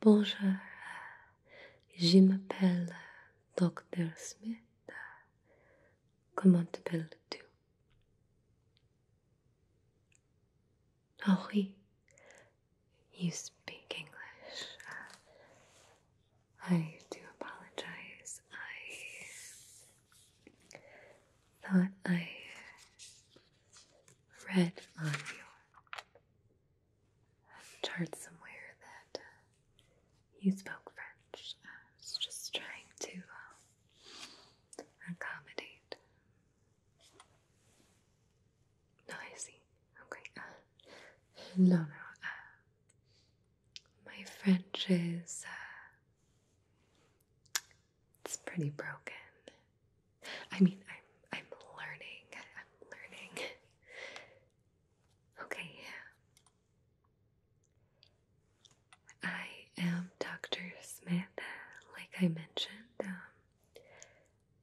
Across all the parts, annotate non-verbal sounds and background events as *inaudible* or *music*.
Bonjour, je m'appelle Dr. Smith. Comment t'appelles-tu? Oh oui, you speak English. I do apologize. I thought I read on your chart somewhere that uh, you spoke French. I was just trying to uh, accommodate. No, I see. Okay. Uh, no, no. my French is it's pretty broken. I mean, I'm I'm learning. I'm learning. Okay. I am Dr. Smith, like I mentioned. Um,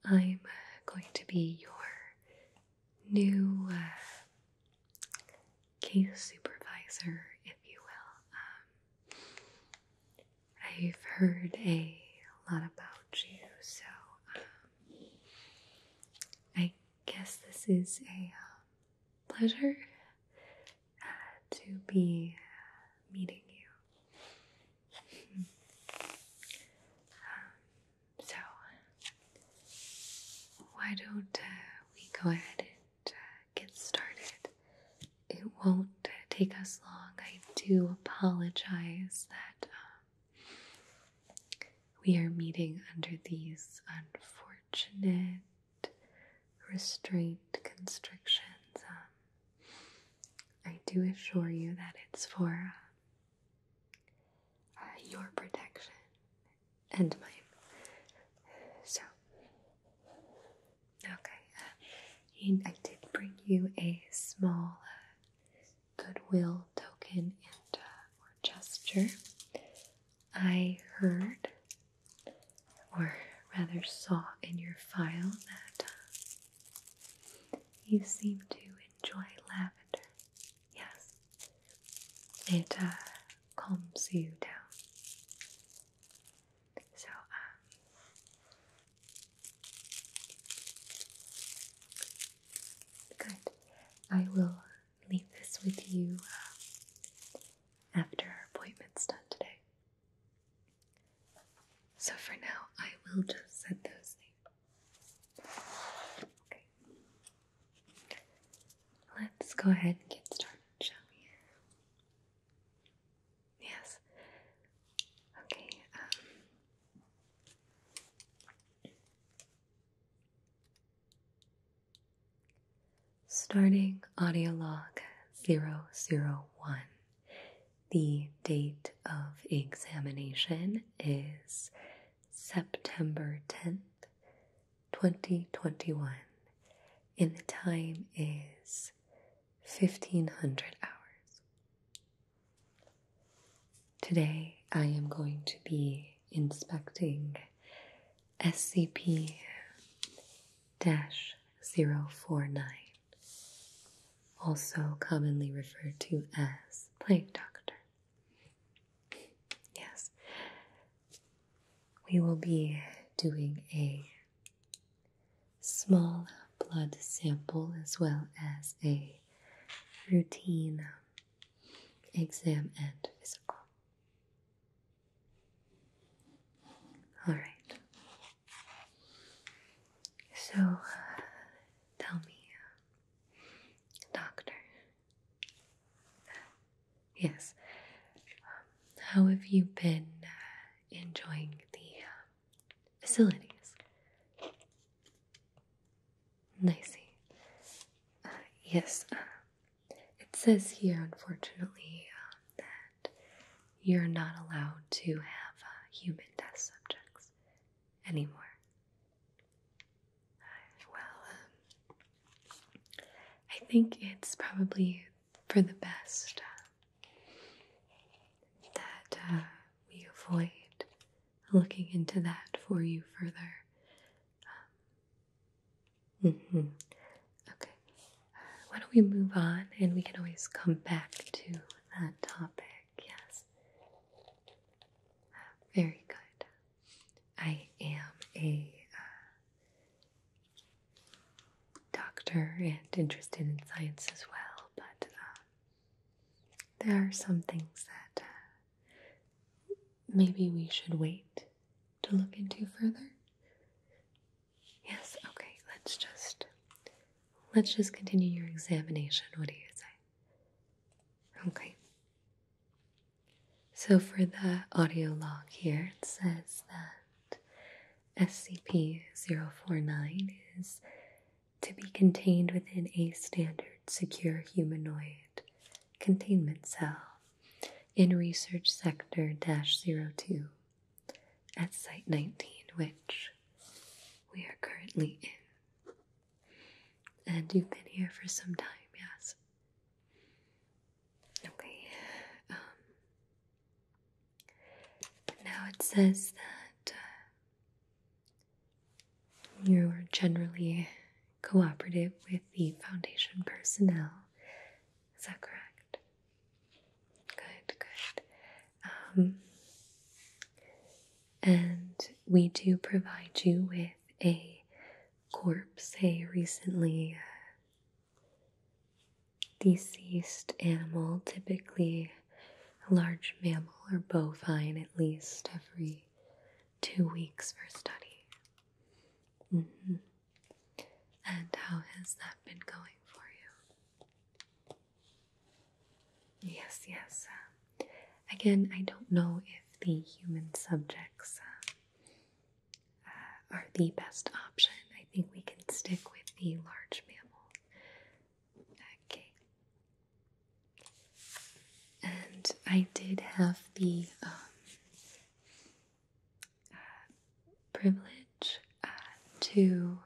I'm uh, going to be your new uh, case supervisor, if you will. Um, I've heard a lot about you, so um, I guess this is a um, pleasure uh, to be uh, meeting you. so, why don't uh, we go ahead and get started. It won't take us long. I do apologize that um, we are meeting under these unfortunate restraint constrictions. Um, I do assure you that it's for uh, your protection and my, So, okay, and uh, I did bring you a small uh, goodwill token and uh, gesture. I heard, or rather saw in your file that you seem to enjoy lavender. Yes, it calms you down. So, um, good. I will leave this with you um, after our appointment's done today. So, for now, I will just set those things. Okay. Let's go ahead and get started. Yes. Okay, um, starting audio log 001. The date of examination is September 10th, 2021, and the time is 1500 hours. Today, I am going to be inspecting SCP 049, also commonly referred to as Plague Doctor. Yes, we will be doing a small blood sample as well as a routine exam and physical. All right. So tell me, doctor, Yes. how have you been uh, enjoying the uh, facilities? I uh, yes. it says here, unfortunately, um, that you're not allowed to have human test subjects anymore. Well, um, I think it's probably for the best that uh, we avoid looking into that for you further. Um, mm-hmm. Okay, why don't we move on and we can always come back to that topic? Yes. very good. I am a uh, doctor and interested in science as well, but um, there are some things that uh, maybe we should wait to look into further. Yes, okay, let's just let's just continue your examination. What do you say? Okay. So, for the audio log here, it says that SCP 049 is to be contained within a standard secure humanoid containment cell in Research Sector 02 at Site 19, which we are currently in. And you've been here for some time, yes? Okay. Um, now it says that uh, you're generally cooperative with the foundation personnel. Is that correct? Good, good. Um, and we do provide you with a corpse, a recently uh, Deceased animal, typically a large mammal or bovine, at least every two weeks for study. Mm-hmm. And how has that been going for you? Yes, yes. Uh, again, I don't know if the human subjects uh, are the best option. I think we can stick with the large mammal. Okay. And I did have the um, uh, privilege uh, to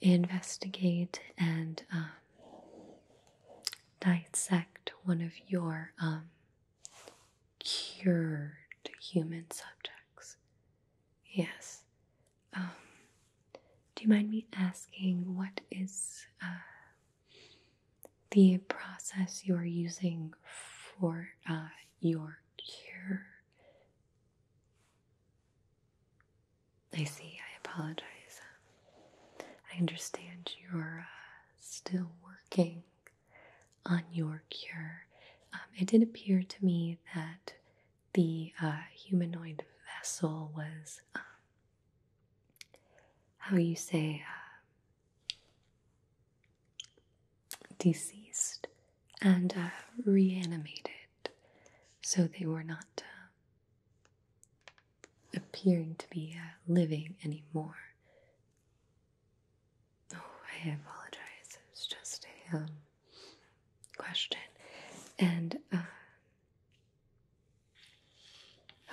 investigate and um, dissect one of your um, cured human subjects. Yes. Um, do you mind me asking what is uh, the process you're using for uh, your cure? I see, I apologize. I understand you're uh, still working on your cure. Um, it did appear to me that the uh, humanoid vessel was, um, how you say, uh, deceased and uh, reanimated. So they were not appearing to be living anymore. Oh, I apologize. It was just a um, question. And, uh,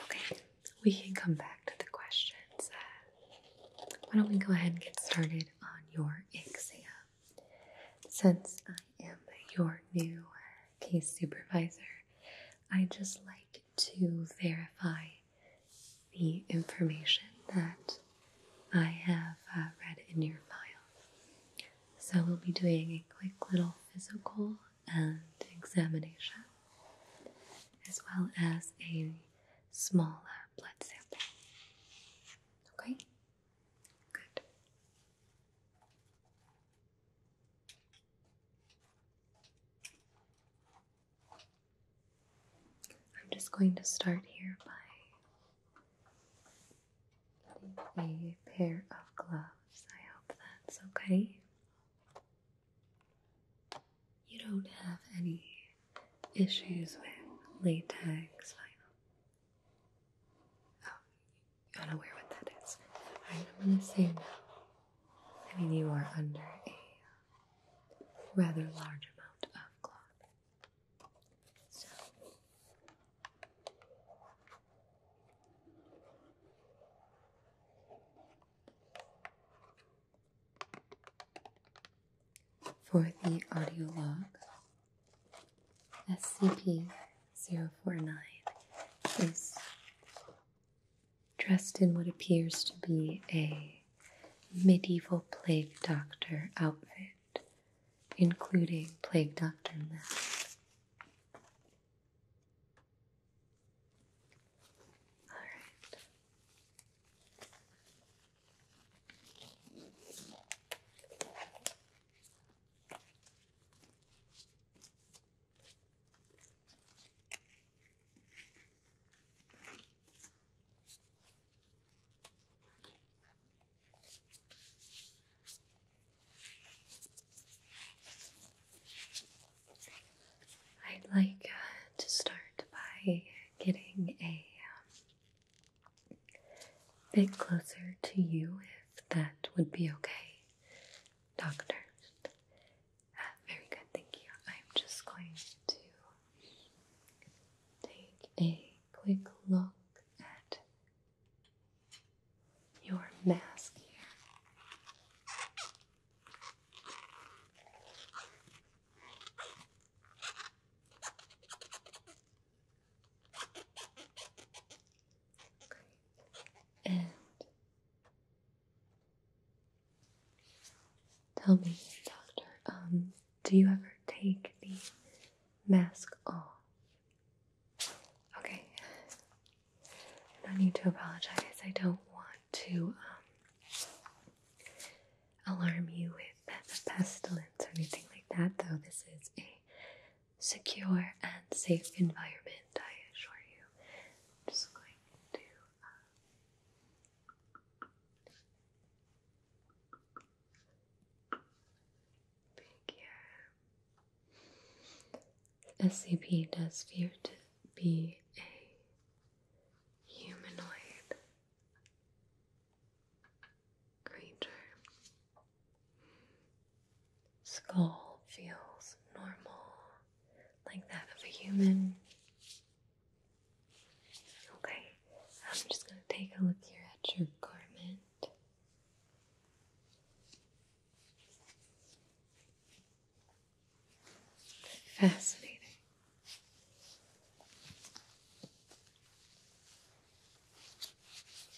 okay, we can come back to the questions. Uh, why don't we go ahead and get started on your exam? Since I am your new uh, case supervisor, I just like to verify the information that I have uh, read in your file. So we'll be doing a quick little physical and examination, as well as a small uh, blood sample. Okay? Good. I'm just going to start here by putting a pair of gloves. I hope that's okay. You don't have any issues with latex vinyl. Oh, you're unaware what that is. I'm gonna say no. I mean, you are under a rather large amount of cloth. for the audio log, SCP-049 is dressed in what appears to be a medieval plague doctor outfit, including plague doctor mask. All right. I'd like uh, to start by getting a um, bit closer to you, if that would be okay, doctor. Very good, thank you. I'm just going to take a quick look at your mask here. And Tell me, doctor, um, do you ever take the mask off? Okay. I need to apologize. I don't want to um, alarm you with pestilence or anything like that, though. This is a secure and safe environment, I assure you. I'm just going to uh, SCP does fear to be a humanoid creature. Skull feels normal, like that of a human. Okay, I'm just going to take a look here at your garment. Fascinating.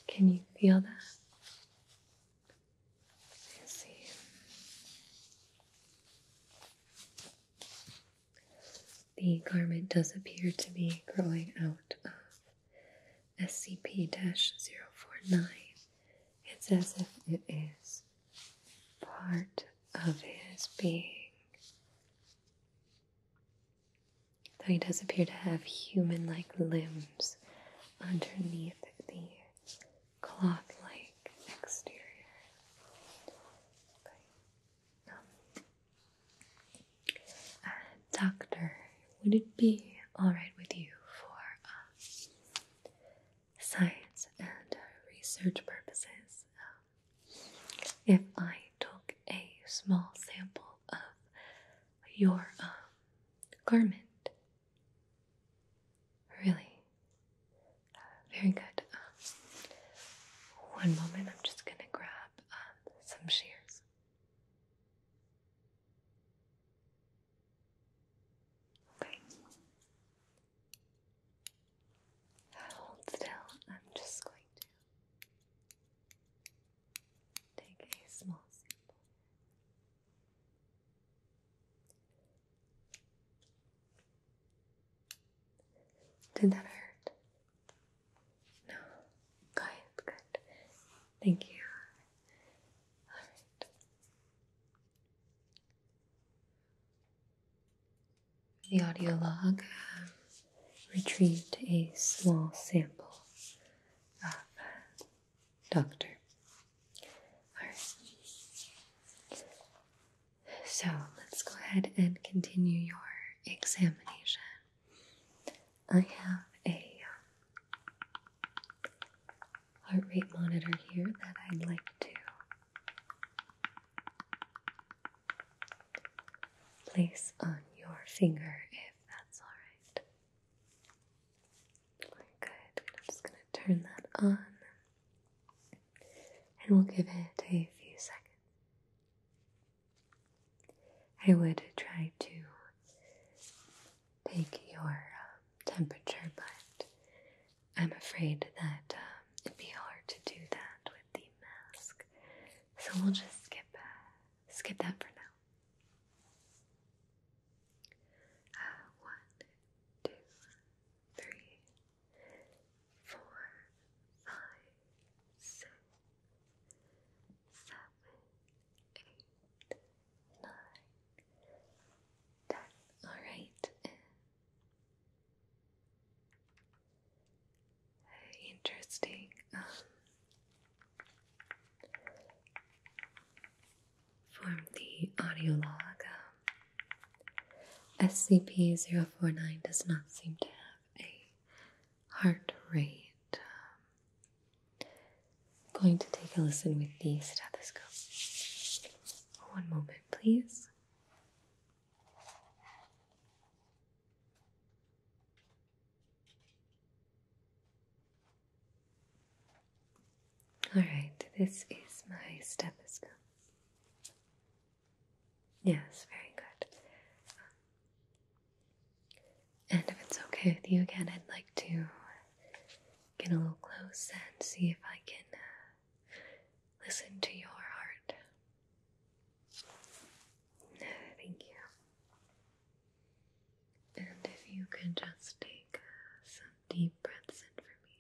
Can you feel that? I see. The garment does appear to be growing out of SCP 049. It's as if it is part of his being. Though he does appear to have human like limbs underneath the cloth like exterior. Uh, doctor, would it be alright with you for uh, science and uh, research purposes um, if I took a small sample of your um, garment? Really? Very good. one moment, I'm just going to grab um, some shears. Okay. Hold still. I'm just going to take a small sample. Did that hurt? No. Good, good. Thank you. The audio log um, retrieved a small sample of Doctor. Alright. So let's go ahead and continue your examination. I have a um, heart rate monitor here that I'd like to place on your finger if that's alright. Good. I'm just going to turn that on and we'll give it a few seconds. I would try to take your um, temperature, but I'm afraid that um, it'd be hard to do that with the mask, so we'll just skip uh, that for now. Uh, one, two, three, four, five, six, seven, eight, nine, ten. All right. Interesting. Um, from the audio log, SCP-049 does not seem to have a heart rate. Um, going to take a listen with the stethoscope. One moment, please. All right, this is my stethoscope. Yes, very good. And if it's okay with you again, I'd like to get a little close and see if I can uh, listen to your heart. Thank you. And if you could just take uh, some deep breaths in for me.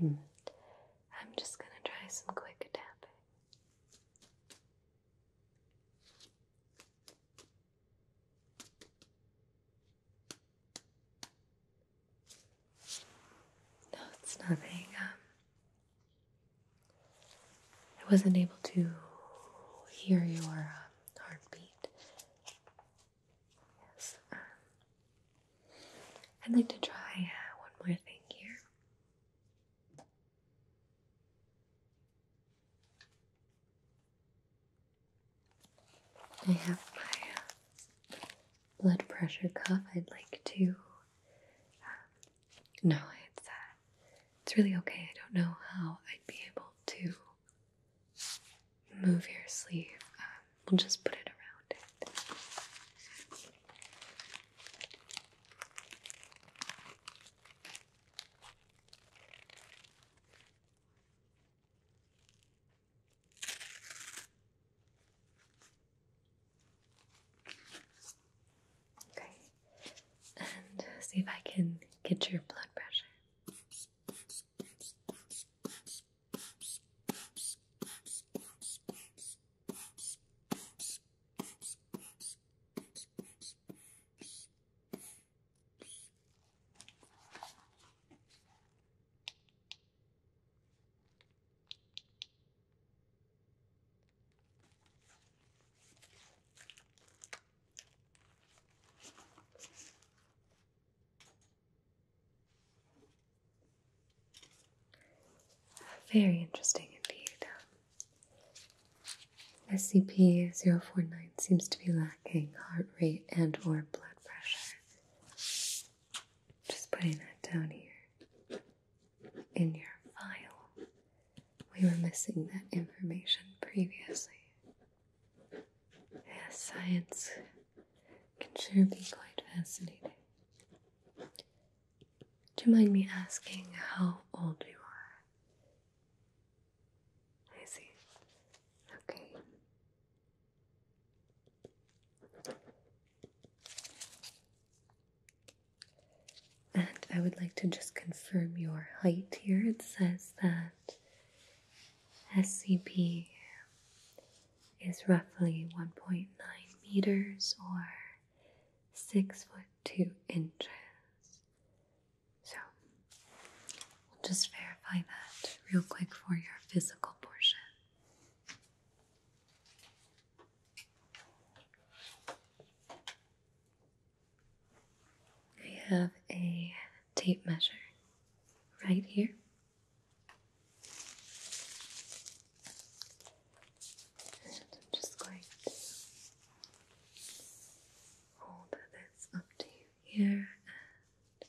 I'm just going to try some quick tapping. No, it's nothing. Um, I wasn't able to hear your um, heartbeat. Yes. Um, I'd like to try uh, one more thing here. I have my uh, blood pressure cuff. I'd like to. Um, no, it's uh, it's really okay. I don't know how I'd be able to move your sleeve. Um, we'll just put it around it. Okay, and see if I can get your blood pressure. Very interesting indeed. SCP 049 seems to be led heart rate and or blood pressure. Just putting that down here in your file. We were missing that information previously. Yeah, science can sure be quite fascinating. Do you mind me asking how old you are? I see. Okay. And I would like to just confirm your height here. It says that SCP is roughly 1.9 meters or 6 foot 2 inches. So we will just verify that real quick for your physical portion. I have a tape measure right here. And I'm just going to hold this up to you here and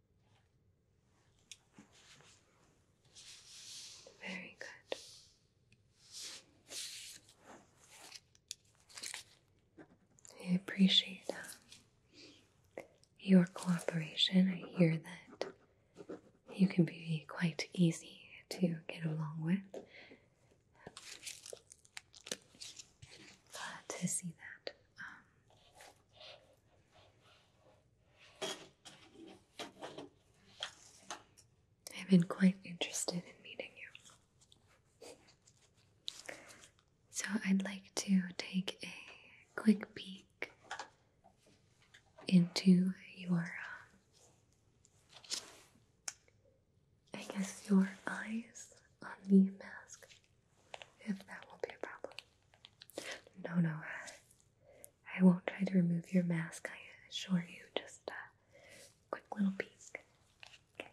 Very good. I appreciate uh, your cooperation. I hear that you can be quite easy to get along with. Glad to see that. Um, I've been quite interested in meeting you. So I'd like to take a quick peek into your, uh, I guess, your eyes on the mask, if that will not be a problem. No, no, uh, I, won't try to remove your mask, I assure you. Just a quick little peek. Okay.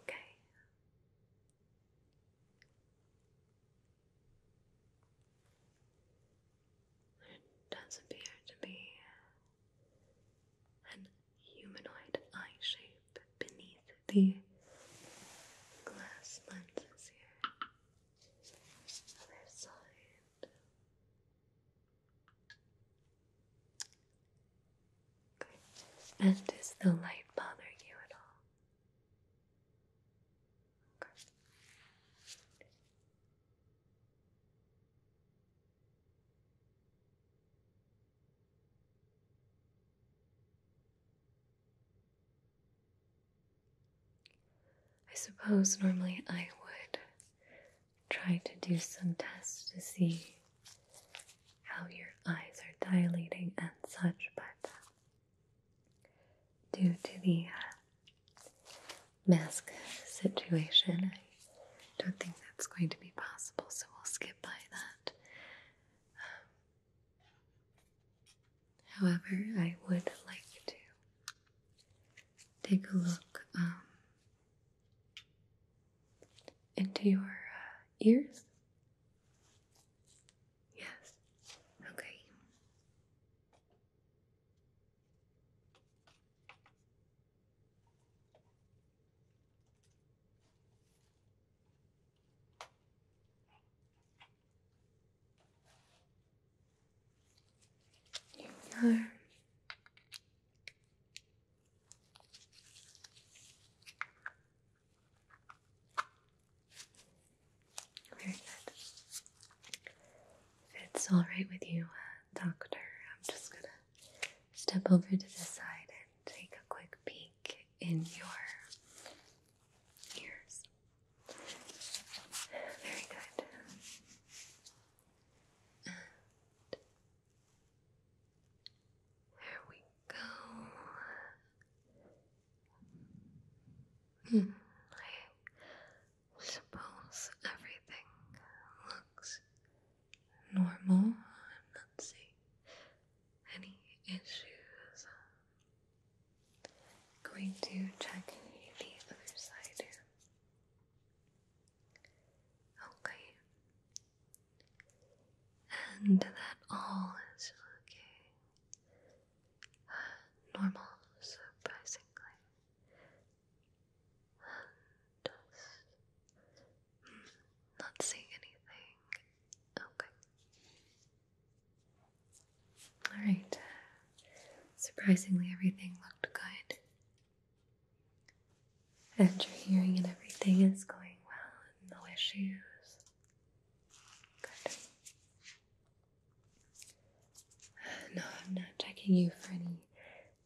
Okay. There does appear to be an humanoid eye shape beneath the glass lenses here. Okay. And does the light bother you at all? Okay. I suppose normally I would try to do some tests to see how your eyes are dilating and such, but uh, due to the uh, mask situation. I don't think that's going to be possible, so we'll skip by that. Um, however, I would like to take a look um, into your uh, ears. Yes. Okay. There very good. it's all right with you, uh, doctor, I'm just going to step over to the side and take a quick peek in your ears. Very good. And we go. Hmm, I suppose everything looks normal. am not seeing any issues. going to check the other side here. Okay. And that all is looking uh, normal, surprisingly. Just not seeing anything. Okay. Alright. Surprisingly, everything looked good. And your hearing and everything is going well, no issues. Good. *sighs* No, I'm not checking you for any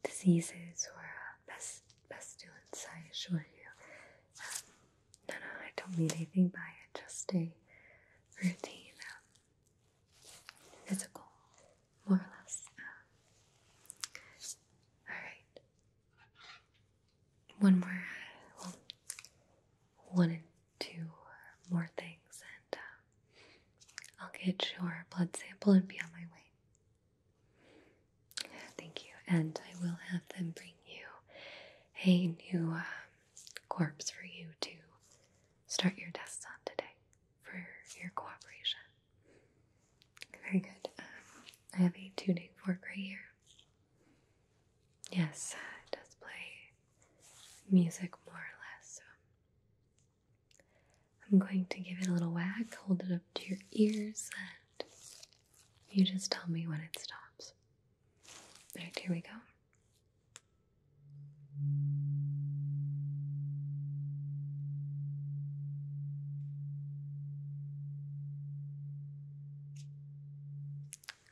diseases or pest, uh, pestilence, I assure you. Um, no, no, I don't mean anything by it, just a routine, um, physical, more or less. Um. Alright. One more, uh, one and two more things, and I'll get your blood sample and be on my way. Thank you. And I will have them bring you a new um, corpse for you to start your tests on today for your cooperation. Very good. Um, I have a tuning fork right here. Yes, it does play music more or less. I'm going to give it a little whack, hold it up to your ears, and you just tell me when it stops. Alright, here we go.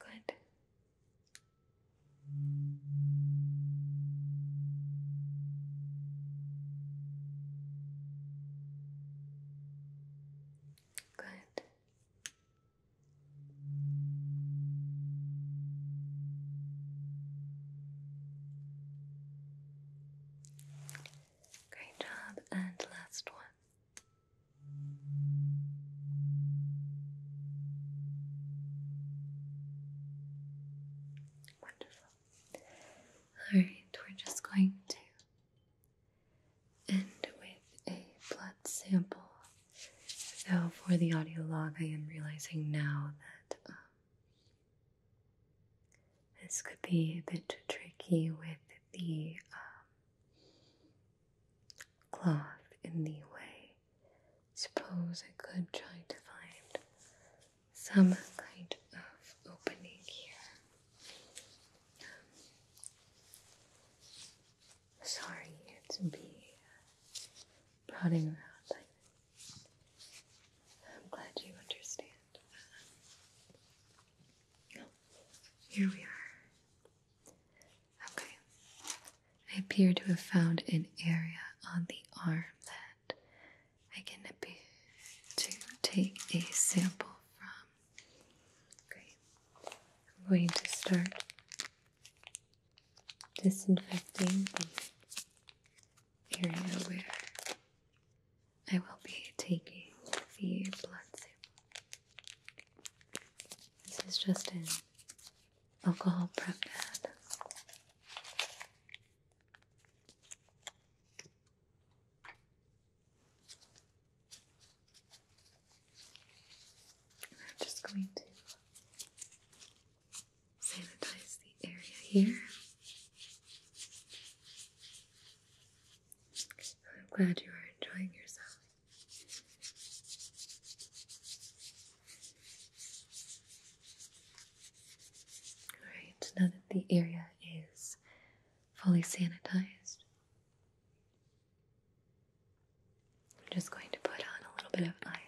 Good. Good. Great job, and last one. Wonderful. Alright, we're just going to end with a blood sample. So, for the audio log, I am realizing now that um, this could be a bit tricky with the um, cloth in the way. Suppose I could try to find some kind of opening here. sorry to be prodding around I'm glad you understand. here we are. Okay. I appear to have found an area on the arm that I can be to take a sample from. Okay, I'm going to start disinfecting the area where I will be taking the blood sample. This is just an alcohol prep pad. I'm just going to sanitize the area here. I'm glad you are enjoying yourself. Alright, now that the area is fully sanitized, I'm just going to put on a little bit of iodine.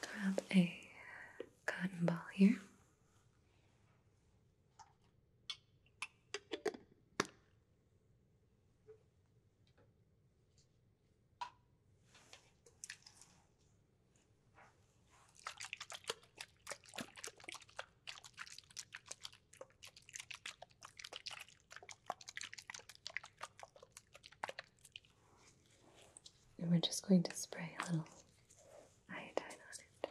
Grab a cotton ball here. And we're just going to spray a little iodine on it.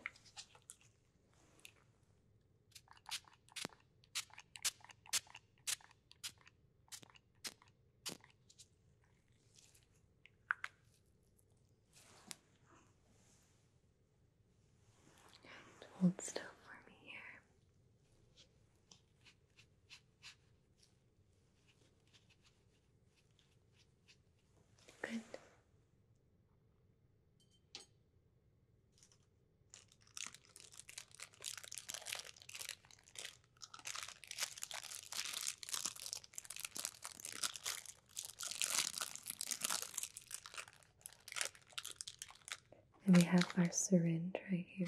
And hold still for me here. Good. And we have our syringe right here.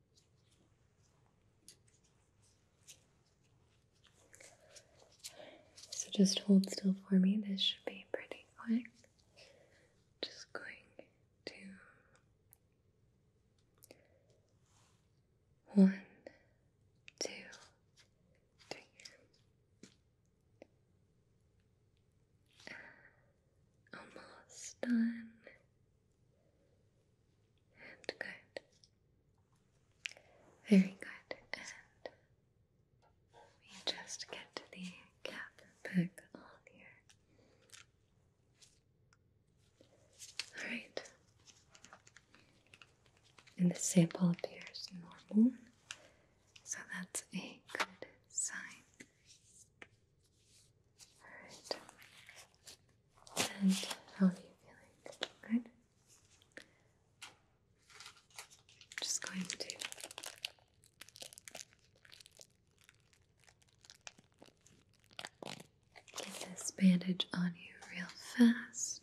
So just hold still for me. This should be pretty quick. Just going to one, two, three. Almost done. And good. Very good. And we just get the cap back on here. Alright. And the sample appears normal. So that's a good sign. All right. And how are you feeling? Good. just going to get this bandage on you real fast.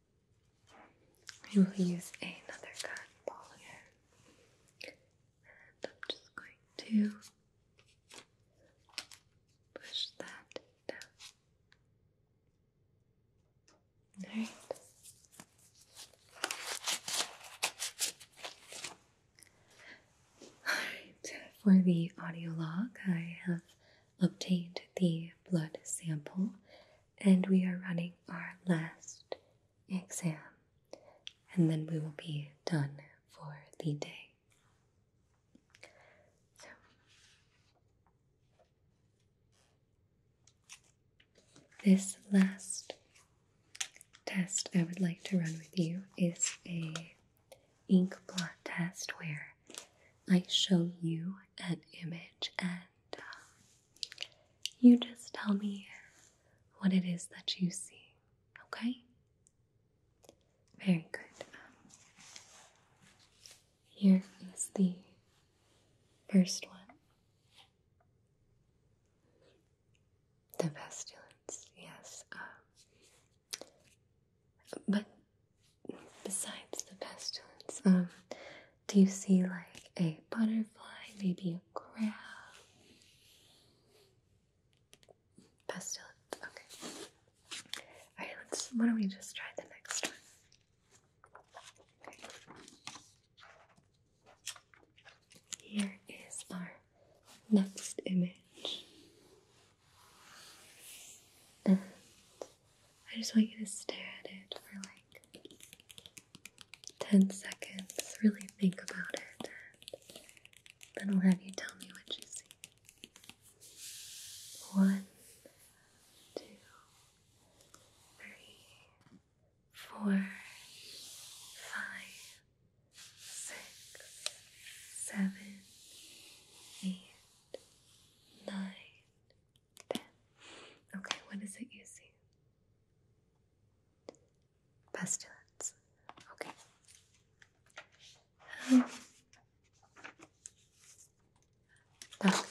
I will use another cotton ball here, and I'm just going to push that down. All right. All right. For the audio log, I have obtained the blood sample and we are running our last exam, and then we will be done for the day. So, this last test I would like to run with you is a ink blot test where I show you an image and um, you just tell me what it is that you see, okay? Very good. Um, here is the first one. The pestilence, yes. Um, but besides the pestilence, do you see like a butterfly, maybe a crab? Pastel. Okay. Alright, let's why don't we just try the next one? Here is our next image. I just want you to stare at it for like 10 seconds. Really think about it, then I'll have you tell me what you see. One, two, three, four, five, six, seven, eight, nine, there. Okay, what is it you see? Pestilence. Okay. Um, doctor,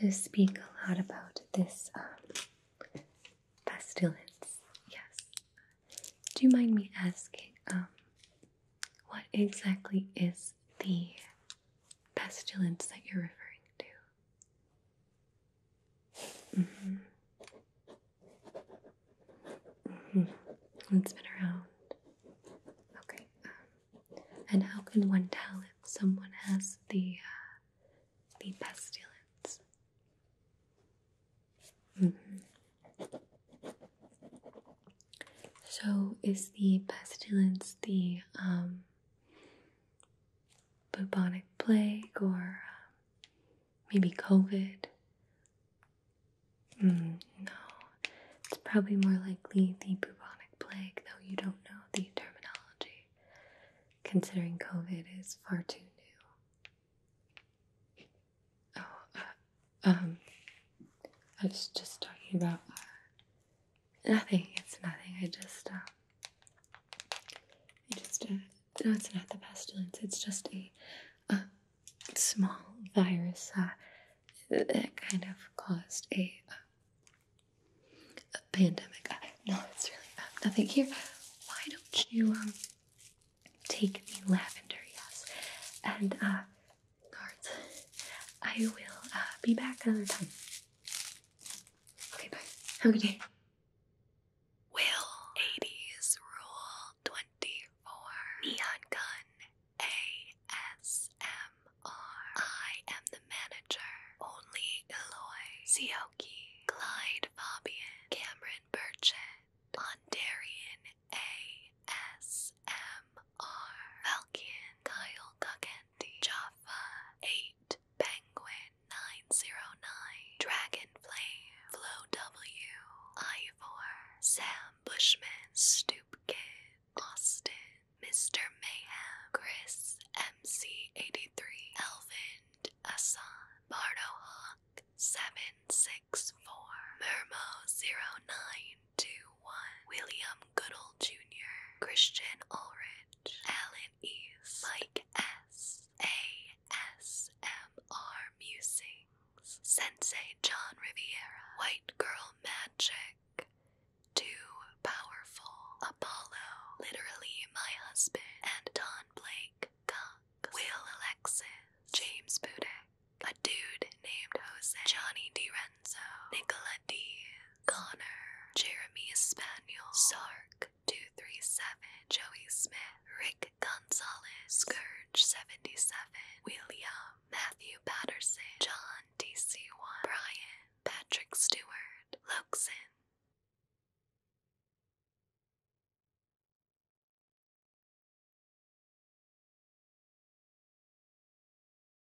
to speak a lot about this um, pestilence. Yes. Do you mind me asking um, what exactly is the pestilence that you're referring to. Mm-hmm. Mm-hmm. It's been around. Okay. Um, and how can one tell if someone has the uh, the pestilence? Mm-hmm. So, is the pestilence the um, bubonic plague or um, maybe COVID? Hmm, no, it's probably more likely the bubonic plague, though you don't know the terminology, considering COVID is far too new. Oh, uh, um, I was just talking about. Nothing. It's nothing. I just, um, I just, uh, no, it's not the pestilence. It's just a, uh, small virus uh, that kind of caused a, uh, a pandemic. Uh, no, it's really nothing here. Why don't you um take the lavender? Yes, and uh, cards. I will uh, be back another time. Okay, bye. Have a good day. Will 80s Rule 24 Neon Gun A S M R. I am the manager. Only Eloy Sioki, Clyde Fabian, Cameron Burchett, Ondarian A S M are Falcon, Kyle Kakenti, Jaffa 8, Penguin 909, Dragonflame, Flow W, Ivor, Sam Bushman, Stoop Kid, Austin, Mr. Mayhem, Chris MC83, Elvind, Asan, Bardo Hawk 764, Mermo 09, 1921. William Goodall Jr., Christian Ulrich, Alan East, Mike S. A. S. M. R. Musings, Sensei John Riviera, White Girl Magic, Two Powerful, Apollo, Literally My Husband, and Don Blake Cox, Will Alexis, James Budek, a dude named Jose, Johnny D. Red Lorenzo, Nicola D, Connor, Jeremy Spaniel, Sark 237, Joey Smith, Rick Gonzalez, Scourge 77, William, Matthew Patterson, John DC1, Brian, Patrick Stewart, Luxon.